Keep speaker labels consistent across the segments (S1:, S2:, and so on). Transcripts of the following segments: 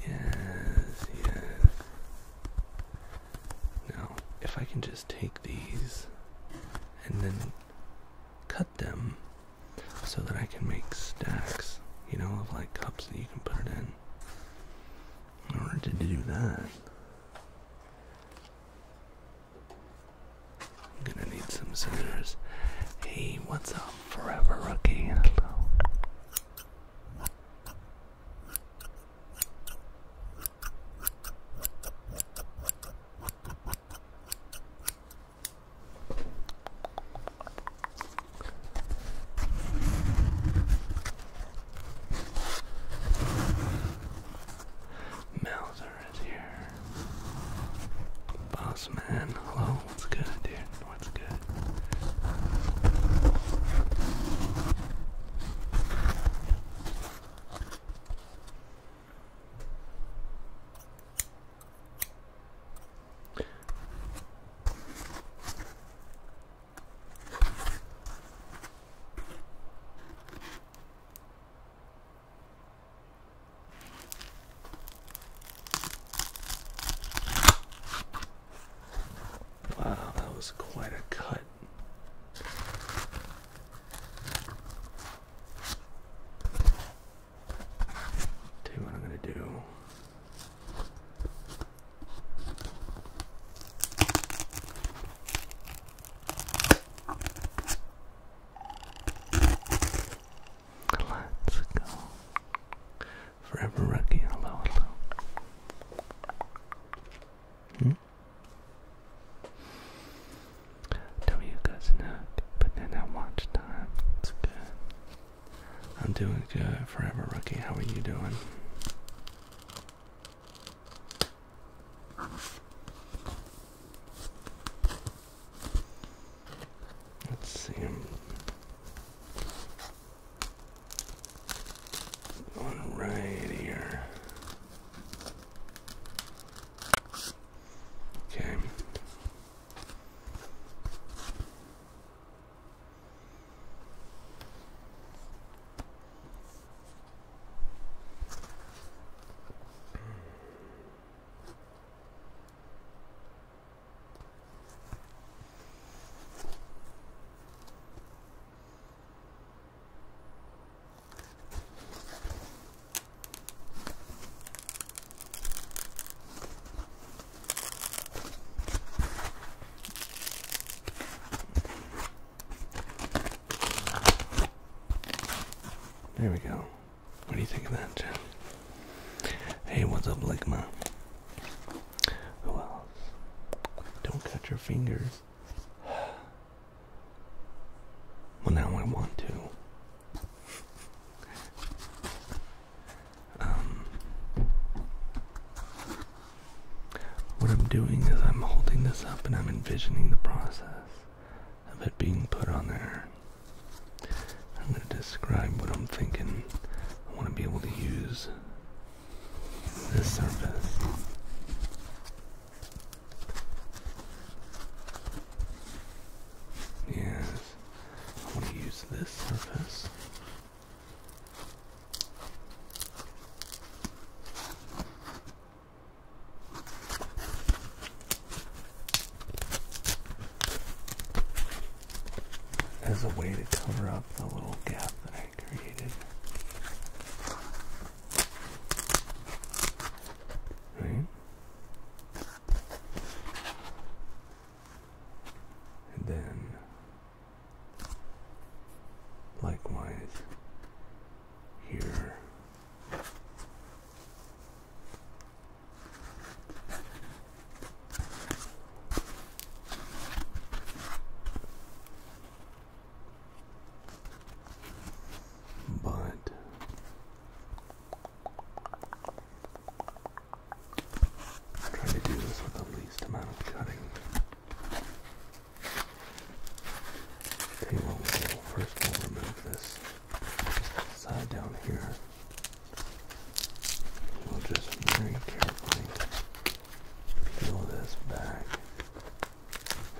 S1: Yes, yes. Now, if I can just take these and then cut them so that I can make stacks, you know, of like cups that you can put in. In order to do that, I'm gonna need some scissors. Hey, what's up, Forever Rookie? Melzer is here. Boss man, hello, what's good, dude? one's good. Wow, that was quite a cut. Tell what I'm going to do. Let's go. Forever Rookie, hello, hello. Hmm? Tell you guys not, but then I watch time. It's good. I'm doing good, Forever Rookie. How are you doing? Let's see. One right here. Okay. There we go. What do you think of that, Jen? Hey, what's up, Ligma? Who Don't cut your fingers. Well, now I want to. Um, what I'm doing is I'm holding this up and I'm envisioning the process of it being put on there. I'm going to describe what I'm thinking. I want to be able to use this surface. Yes, I want to use this surface as a way to cover up the little gap that I created. Right? And then, likewise, here but I try to do this with the least amount of cutting. Okay, well, 1st remove this side down here. We'll just very carefully peel this back.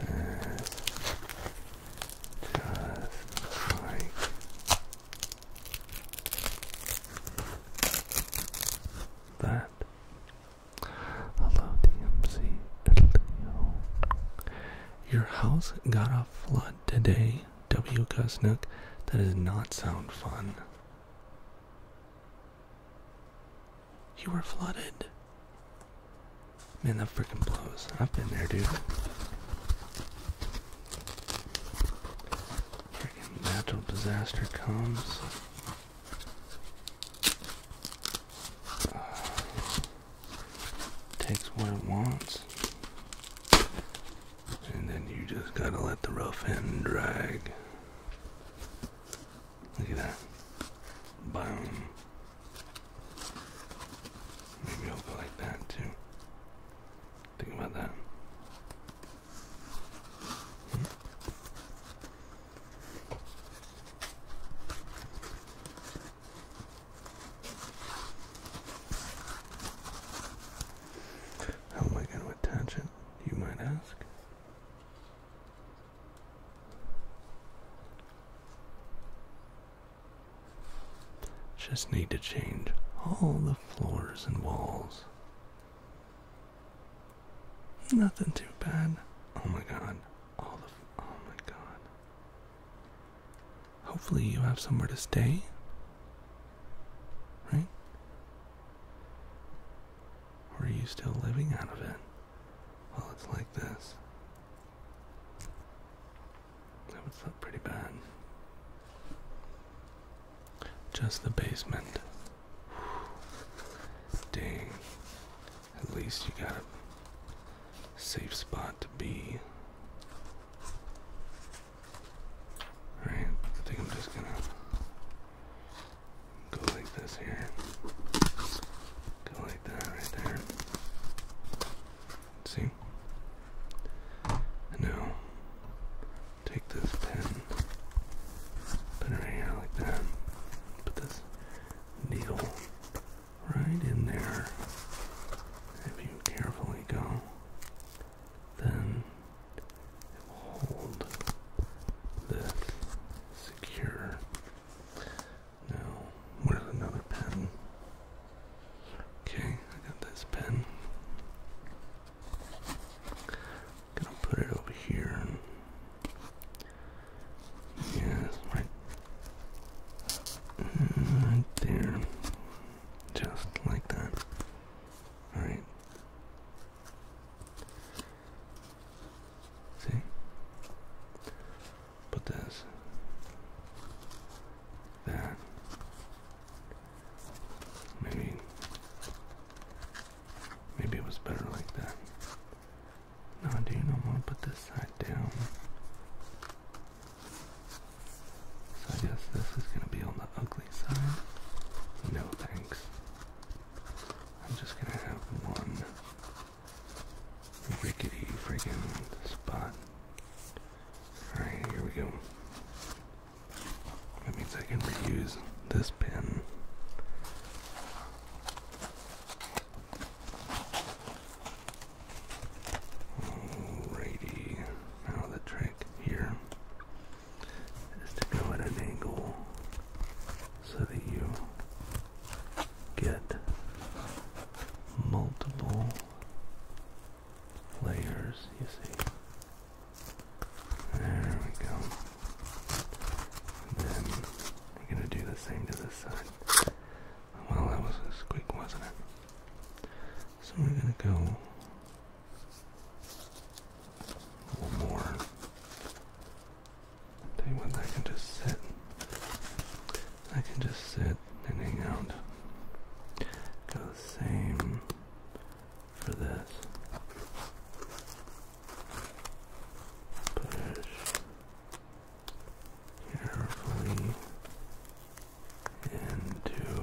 S1: And just like that. Hello, DMC Your house got a flood today. W. Gusnook. That does not sound fun. You were flooded. Man, that freaking blows. I've been there, dude. Freaking natural disaster comes. Uh, takes what it wants and then you just gotta let the rough end drag. Look at that. Maybe I'll go like that too. Think about that. How am I going to attach it, you might ask? Just need to change all the floors and walls. Nothing too bad. Oh my god. All the. Oh my god. Hopefully, you have somewhere to stay. Right? Or are you still living out of it? Well, it's like this. That would look pretty bad. Just the basement. Dang. At least you got a safe spot to be. Alright, I think I'm just gonna go like this here. Go like that right there. See? now take this pen, put it right here like that, put this needle right in there. If you carefully go, then hold this secure. Now, where's another pen? Okay, I got this pen. gonna put it over here. yes, right, right there just like that. All right. See? Put this, that, maybe, maybe it was better like that. No, do not want to put this side down? So I guess this is going to be on the ugly side. No thanks. I'm just going to have one rickety friggin' spot. Alright, here we go. That means I can reuse this pen. Alrighty, now the trick here is to go at an angle so that you get multiple layers, you see. There we go. then we're going to do the same to this side. Well, that was quick, wasn't it? So we're gonna go more. Tell what, I can just sit. I can just sit and hang out. Go the same for this. Push carefully into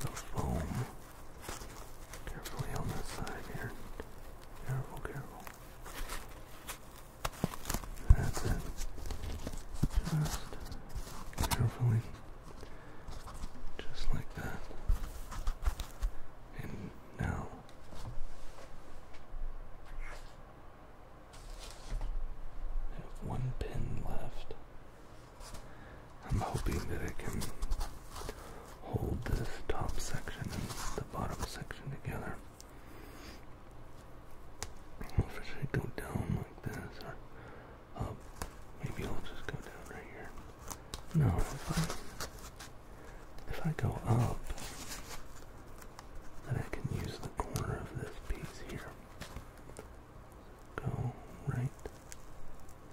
S1: the foam. Carefully on this side here. Careful, careful. That's it. Just carefully. Just like that. And now I have one pin left. I'm hoping that I can hold this top section and the bottom section together. If I go down like this or up, maybe I'll just go down right here. No, if I, if I go up, then I can use the corner of this piece here Go right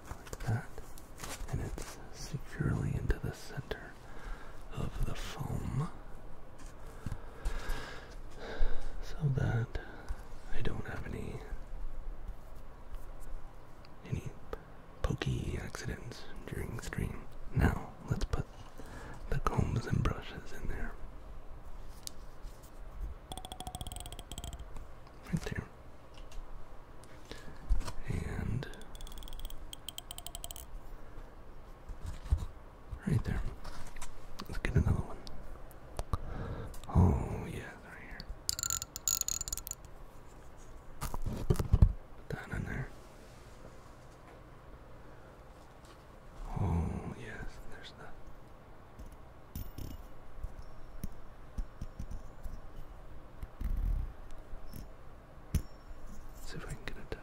S1: like that, and it's securely into the center of the foam so that I don't have any any pokey accidents during the stream. Now let's put the combs and brushes in there. Right there. And right there. Let's get another one. Oh yeah, right here. Put in there. Oh, yes, there's that. See if I can get it.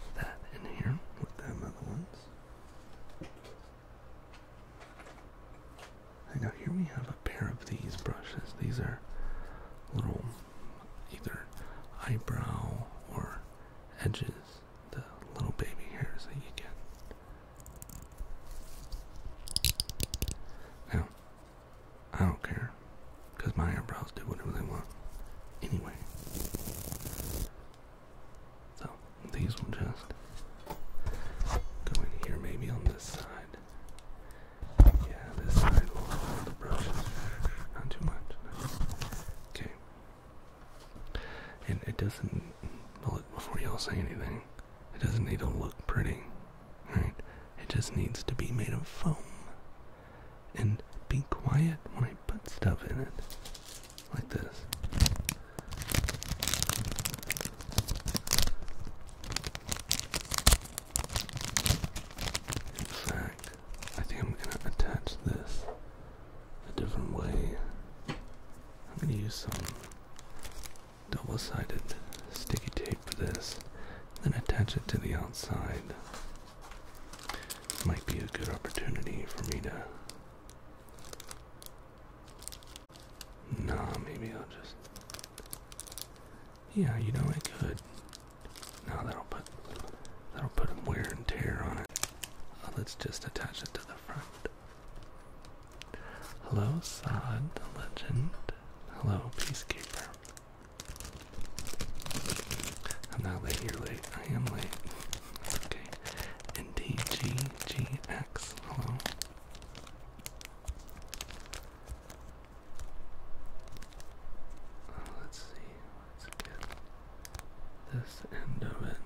S1: Put that in here with them other ones now here we have a pair of these brushes. These are little either eyebrow or edges, the little baby hairs that you get. Now, I don't care, because my eyebrows do whatever they want anyway. So, these will just go in here, maybe on this side. Yeah, this side will hold the brushes. Not too much. Okay. And it doesn't, look. before y'all say anything, it doesn't need to look pretty, right? It just needs to be made of foam. And be quiet when I put stuff in it. Like this. In fact, I think I'm going to attach this a different way. I'm going to use some double sided sticky tape for this, then attach it to the outside. Might be a good opportunity for me to no, maybe I'll just. Yeah, you know I could. No, that'll put that'll put wear and tear on it. Uh, let's just attach it to the front. Hello, Saad the legend. Hello, Peacekeeper. I'm not late. You're late. I am late. Okay. N D G G X. Hello let's see. Let's get this end of it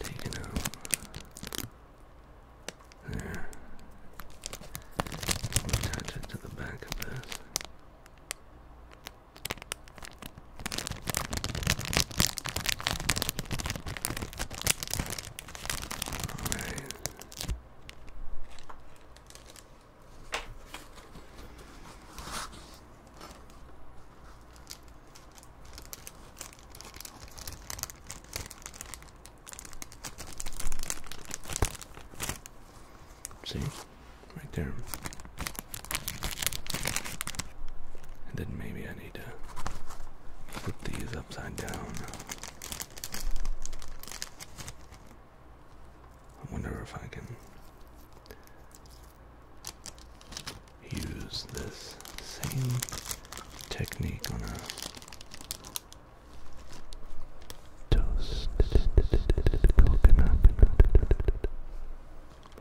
S1: taken out. There. Attach it to the back of this. See? Right there. And then maybe I need to put these up. I wonder if I can use this same technique on a toast coconut,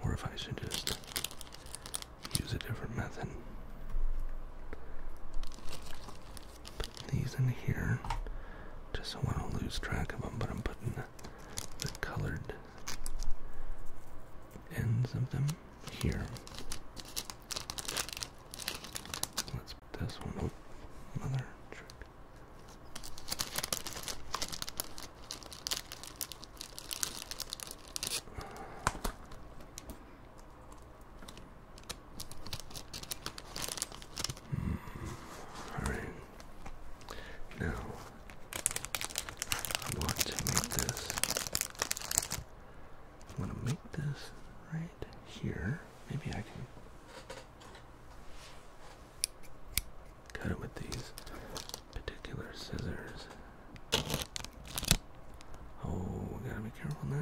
S1: or if I should just use a different method. Put these in here, just so I don't lose track of them, but I'm putting the, colored ends of them here. Let's put this one Another trick. All right. Now I want to make this. I'm gonna make this right here. Maybe I can cut it with these particular scissors. Oh, we gotta be careful now.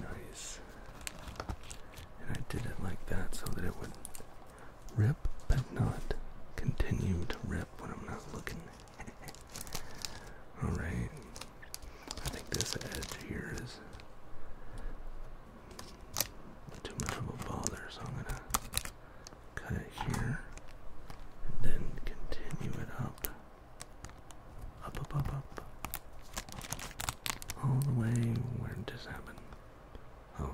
S1: Nice. And I did it like that so that it would rip but not continue to rip when I'm not looking. Alright. I think this edge here is too much of a bother, so I'm gonna cut it here and then continue it up. Up, up, up, All the way where did this happen? Oh.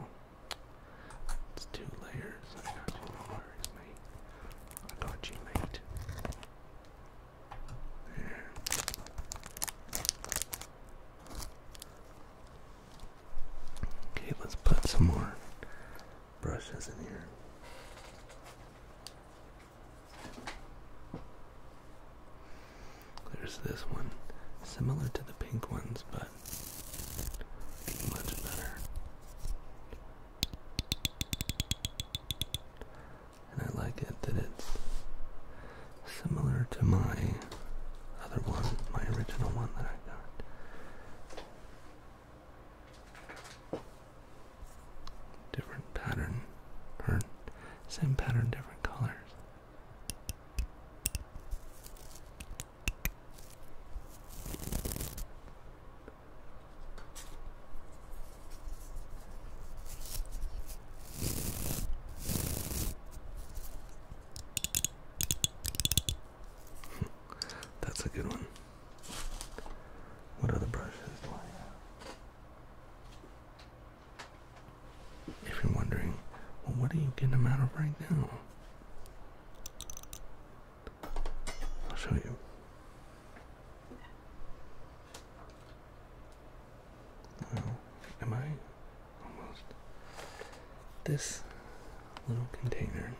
S1: It's two layers. I got you, no mate. I got you, mate. There. Okay, let's put some more brushes in here. There's this one, similar to the pink ones, but much better. And I like it that it's similar to my other one, my original one that I got. Different pattern, same pattern, different colors. That's a good one. What other brushes If you're wondering, what are you getting them out of right now? I'll show you. am I almost this little container?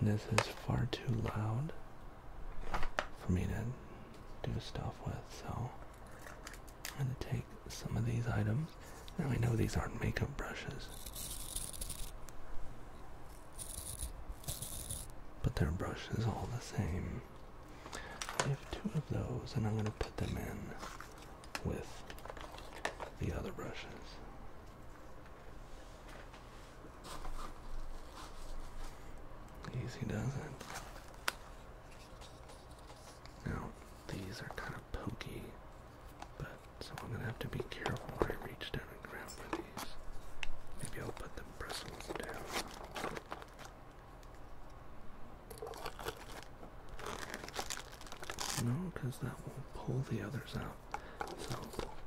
S1: And this is far too loud for me to do stuff with, so I'm going to take some of these items. Now I know these aren't makeup brushes, but they're brushes all the same. I have two of those, and I'm going to put them in with the other brushes. Easy does it. Now, these are kind of pokey, but so I'm gonna have to be careful when I reach down and grab for these. Maybe I'll put the bristles down. No, because that will pull the others out. So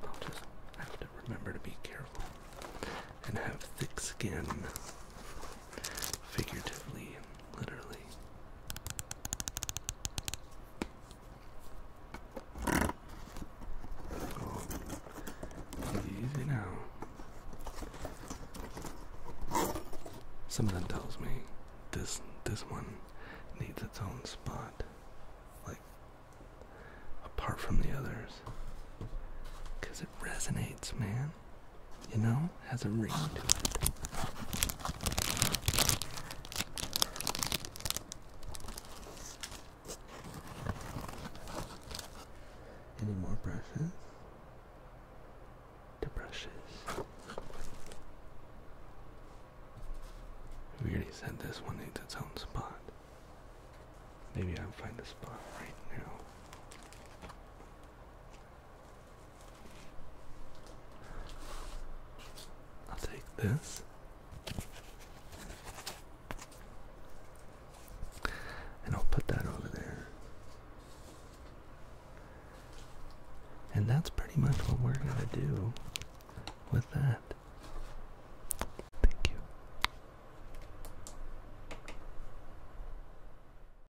S1: I'll just have to remember to be careful and have thick skin figuratively and literally. Oh, easy now. Something tells me this this one needs its own spot, like apart from the others, because it resonates, man you know, has a ring to it. Any more brushes? The brushes. We already said this one needs its own spot. Maybe I'll find a spot right now. I'll take this. And I'll put that over there. And that's pretty much what we're going to do with that. Thank you.